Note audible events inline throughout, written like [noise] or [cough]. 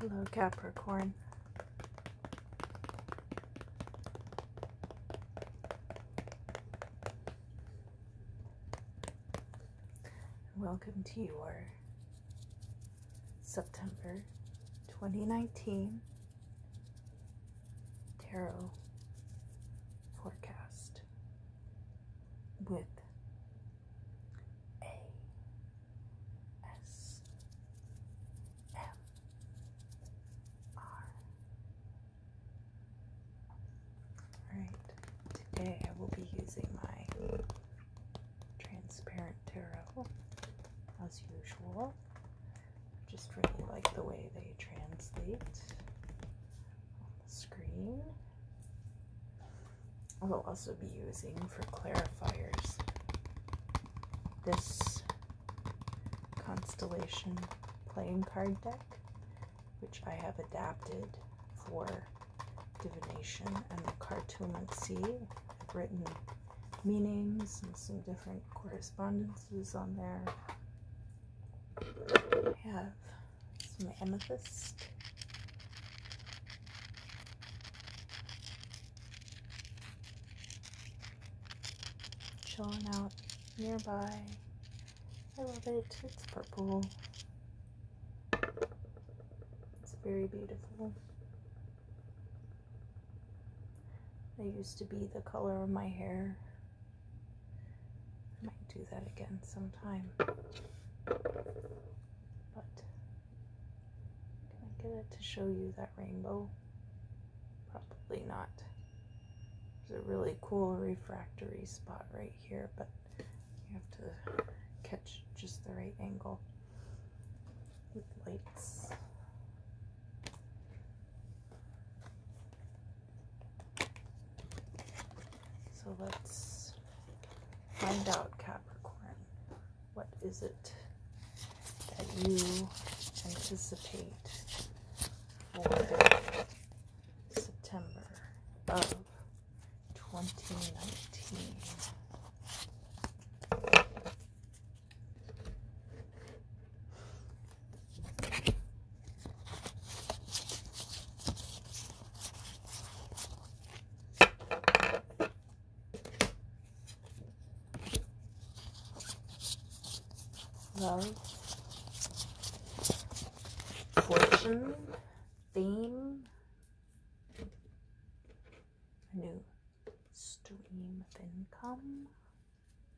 Hello, Capricorn. Welcome to your September 2019 Tarot forecast with a s m r. Alright, today I will be using my transparent tarot as usual. I just really like the way they translate on the screen. I will also be using for clarifiers this Constellation playing card deck, which I have adapted for divination and the cartomancy. I've written meanings and some different correspondences on there. I have some amethyst. Chilling out nearby. I love it. It's purple. It's very beautiful. It used to be the color of my hair I might do that again sometime. But can I get it to show you that rainbow? Probably not. It's a really cool refractory spot right here, but you have to catch just the right angle with lights. So let's find out, Capricorn. What is it that you anticipate for September of 2019? Love, fortune, fame, new stream of income,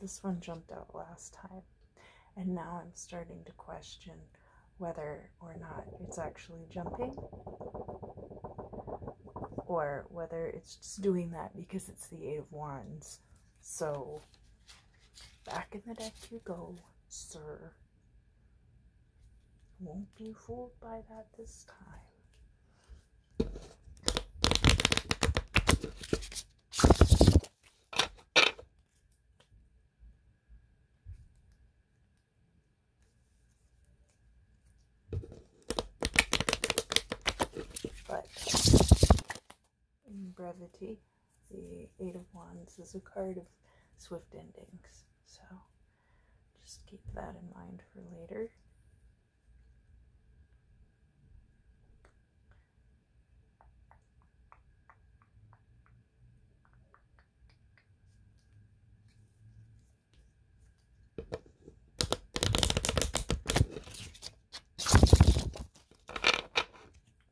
This one jumped out last time, and now I'm starting to question whether or not it's actually jumping or whether it's just doing that because it's the Eight of Wands. So, back in the deck you go, sir. Won't be fooled by that this time. But in brevity, the Eight of Wands is a card of swift endings. So just keep that in mind for later.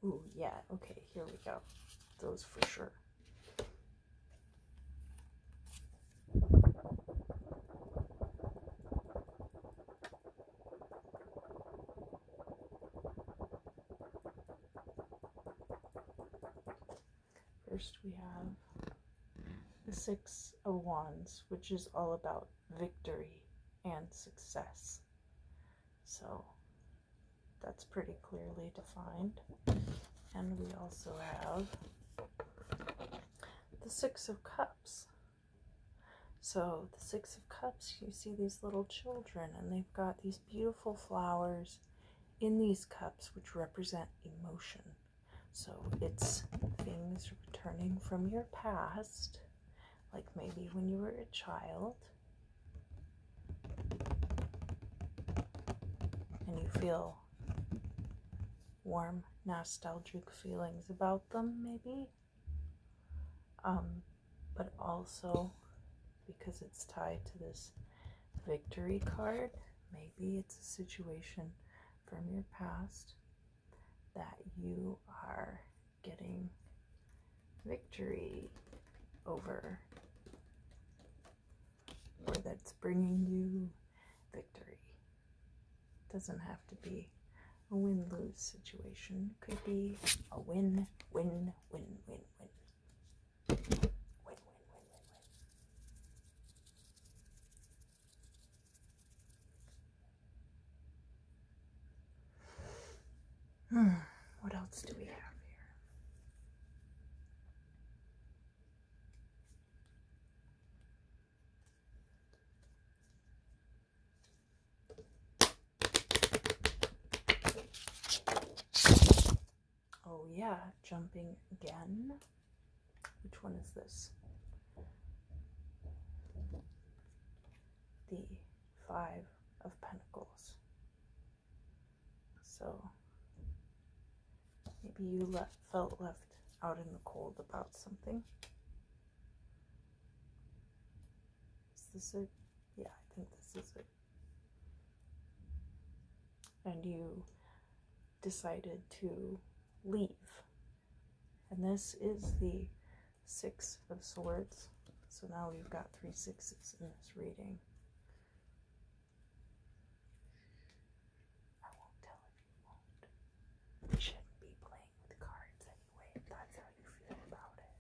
Oh yeah, okay, here we go. Those for sure. First, we have the Six of Wands, which is all about victory and success. So that's pretty clearly defined. And we also have the Six of Cups, so, the Six of Cups, you see these little children, and they've got these beautiful flowers in these cups, which represent emotion. So, it's things returning from your past, like maybe when you were a child, and you feel warm, nostalgic feelings about them, maybe. Um, but also because it's tied to this victory card, maybe it's a situation from your past that you are getting victory over or that's bringing you victory doesn't have to be a win lose situation, it could be a win, win, win, win, win. Win, win, win, win, win. Hmm, what else do we have here? Oh yeah, jumping again. Which one is this? The Five of Pentacles. So maybe you felt left out in the cold about something. Is this it? Yeah, I think this is it. And you decided to leave. And this is the Six of Swords. So now we've got three sixes in this reading. I won't tell if you won't. You shouldn't be playing with cards anyway that's how you feel about it.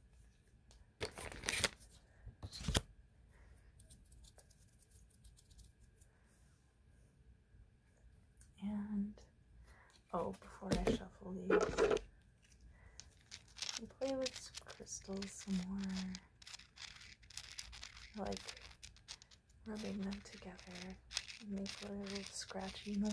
And oh, before I shuffle these, play with some crystals some more. Like rubbing them together make a little scratchy noise.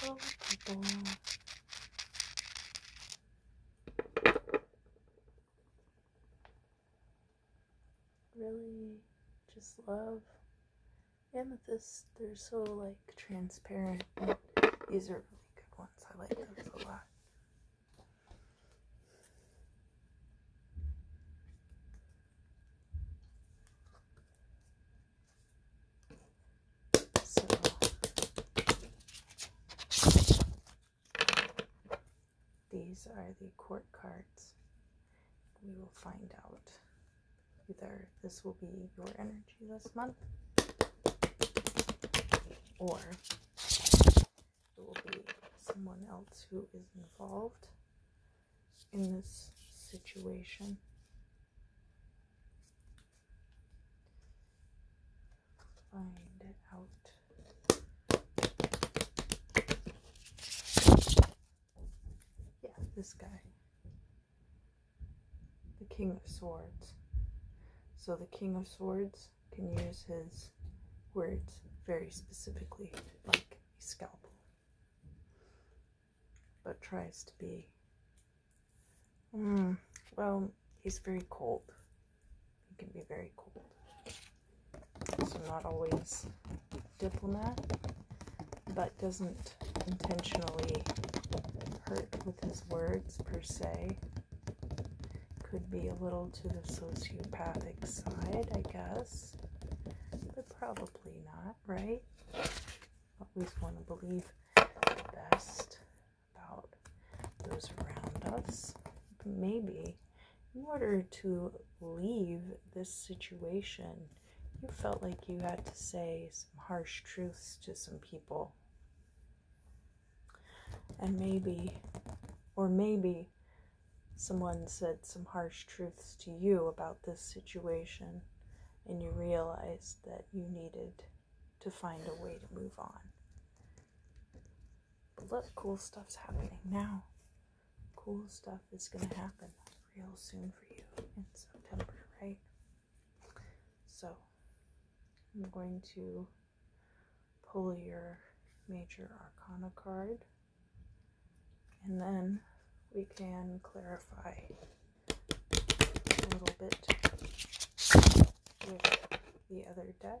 So people really just love amethyst. They're so like transparent. These are really good ones. I like those a lot. So these are the court cards. We will find out either this will be your energy this month or there will be someone else who is involved in this situation. Find it out. Yeah, this guy. The King of Swords. So the King of Swords can use his words very specifically, like a scalpel, but tries to be, mm, well, he's very cold. He can be very cold. not always diplomat, but doesn't intentionally hurt with his words per se. Could be a little to the sociopathic side, I guess. But probably not, right? Always want to believe the best about those around us. maybe in order to leave this situation, you felt like you had to say some harsh truths to some people. And maybe, or maybe, someone said some harsh truths to you about this situation, and you realized that you needed to find a way to move on. But look, cool stuff's happening now. Cool stuff is going to happen real soon for you in September, right? So I'm going to pull your major arcana card and then we can clarify a little bit with the other deck.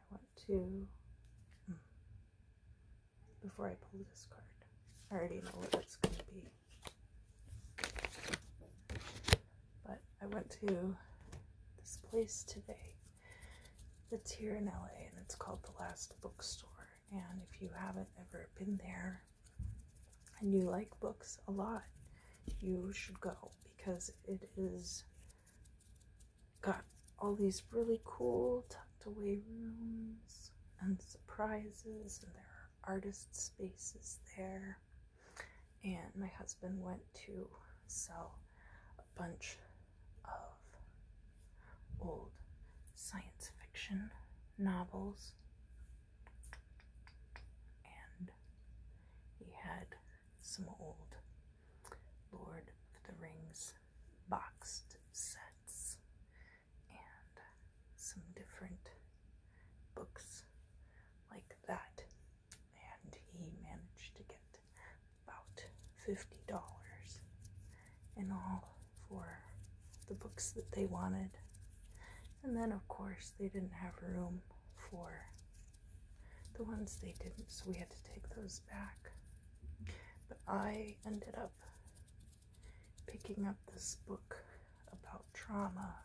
I want to. Hmm, before I pull this card, I already know what that's going to be. But I went to this place today that's here in LA and it's called The Last Bookstore. And if you haven't ever been there and you like books a lot, you should go because it is Got all these really cool tucked away rooms and surprises, and there are artist spaces there. And my husband went to sell a bunch of old science fiction novels, and he had some old Lord of the Rings boxed sets and some different books like that. And he managed to get about $50 in all for the books that they wanted. And then, of course, they didn't have room for the ones they didn't, so we had to take those back. But I ended up picking up this book about trauma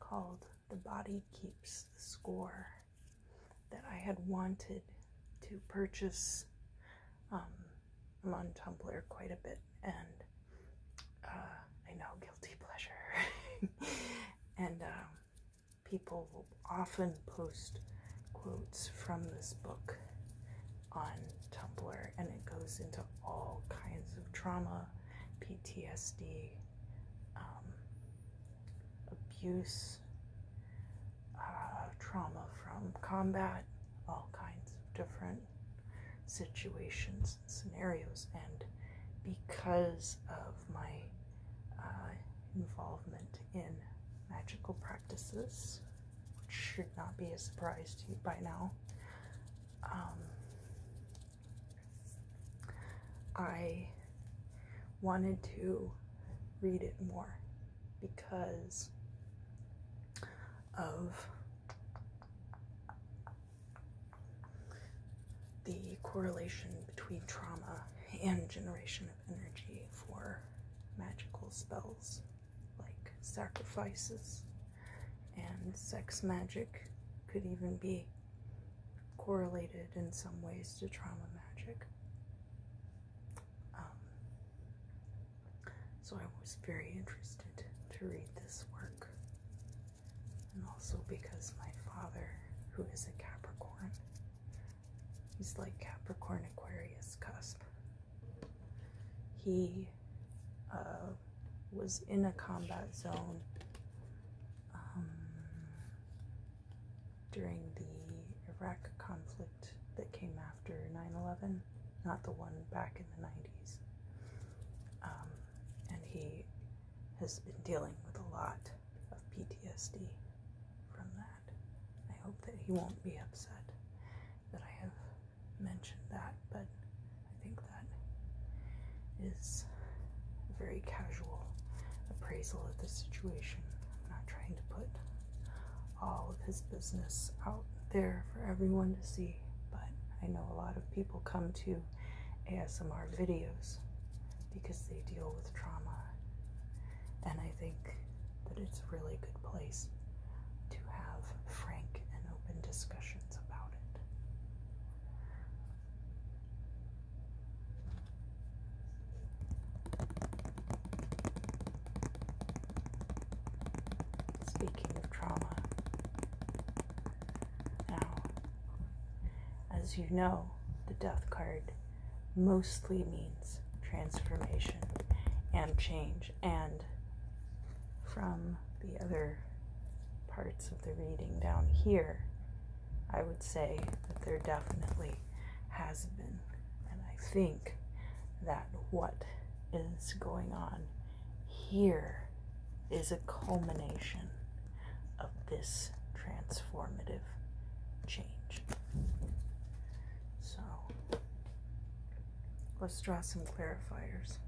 called The Body Keeps the Score that I had wanted to purchase. Um, I'm on Tumblr quite a bit and uh, I know guilty pleasure. [laughs] and um, people often post quotes from this book on Tumblr, and it goes into all kinds of trauma, PTSD, um, abuse, uh, trauma from combat, all kinds of different situations and scenarios. And because of my uh, involvement in magical practices, which should not be a surprise to you by now. Um, I wanted to read it more because of the correlation between trauma and generation of energy for magical spells like sacrifices and sex magic could even be correlated in some ways to trauma magic. Um, so I was very interested to read this work and also because my father, who is a Capricorn, he's like Capricorn Aquarius cusp. He uh, was in a combat zone um, during the Iraq conflict that came after 9 11, not the one back in the 90s. Um, and he has been dealing with a lot of PTSD from that. I hope that he won't be upset that I have mentioned that, but I think that is a very casual appraisal of the situation. I'm not trying to put all of his business out there for everyone to see, but I know a lot of people come to ASMR videos because they deal with trauma. And I think that it's a really good place to have frank and open discussions about it. Speaking of trauma, now as you know, the death card mostly means transformation and change, and from the other parts of the reading down here, I would say that there definitely has been. And I think that what is going on here is a culmination of this transformative change. So let's draw some clarifiers.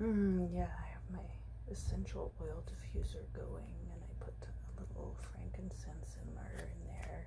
Mm, yeah, I have my essential oil diffuser going and I put a little frankincense and myrrh in there.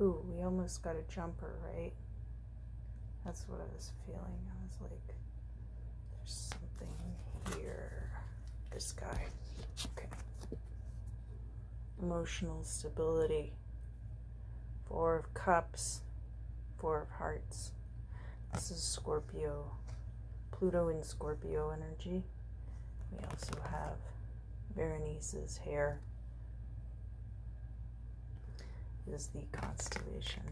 Ooh, we almost got a jumper, right? That's what I was feeling. I was like, there's something here. This guy. Okay. Emotional stability. Four of Cups. Four of Hearts. This is Scorpio. Pluto in Scorpio energy. We also have Berenice's hair is the constellation.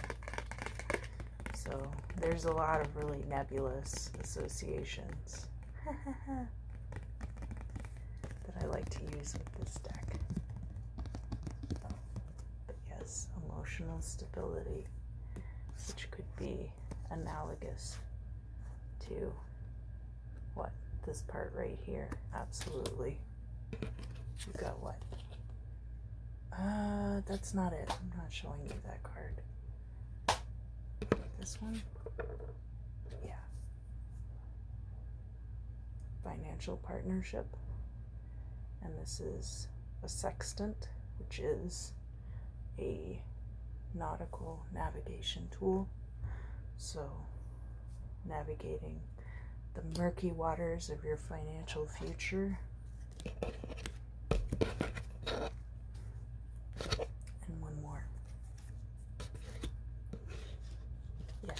So there's a lot of really nebulous associations [laughs] that I like to use with this deck. But yes, emotional stability, which could be analogous to what this part right here absolutely we got what uh that's not it i'm not showing you that card this one yeah financial partnership and this is a sextant which is a nautical navigation tool so navigating the murky waters of your financial future. And one more. Yeah,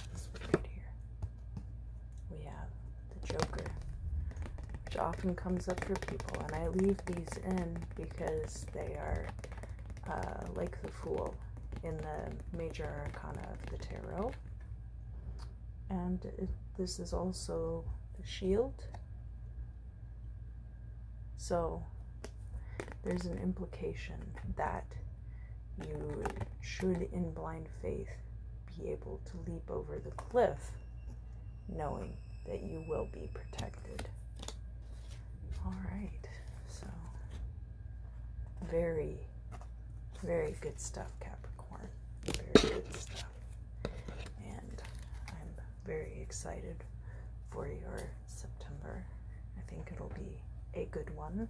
right here. We have the Joker, which often comes up for people, and I leave these in because they are uh, like the Fool in the major arcana of the tarot. And this is also the shield. So there's an implication that you should, in blind faith, be able to leap over the cliff knowing that you will be protected. All right, so very, very good stuff, Capricorn. Very good stuff. And I'm very excited for your September. I think it'll be a good one.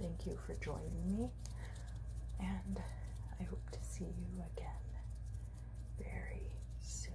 Thank you for joining me, and I hope to see you again very soon.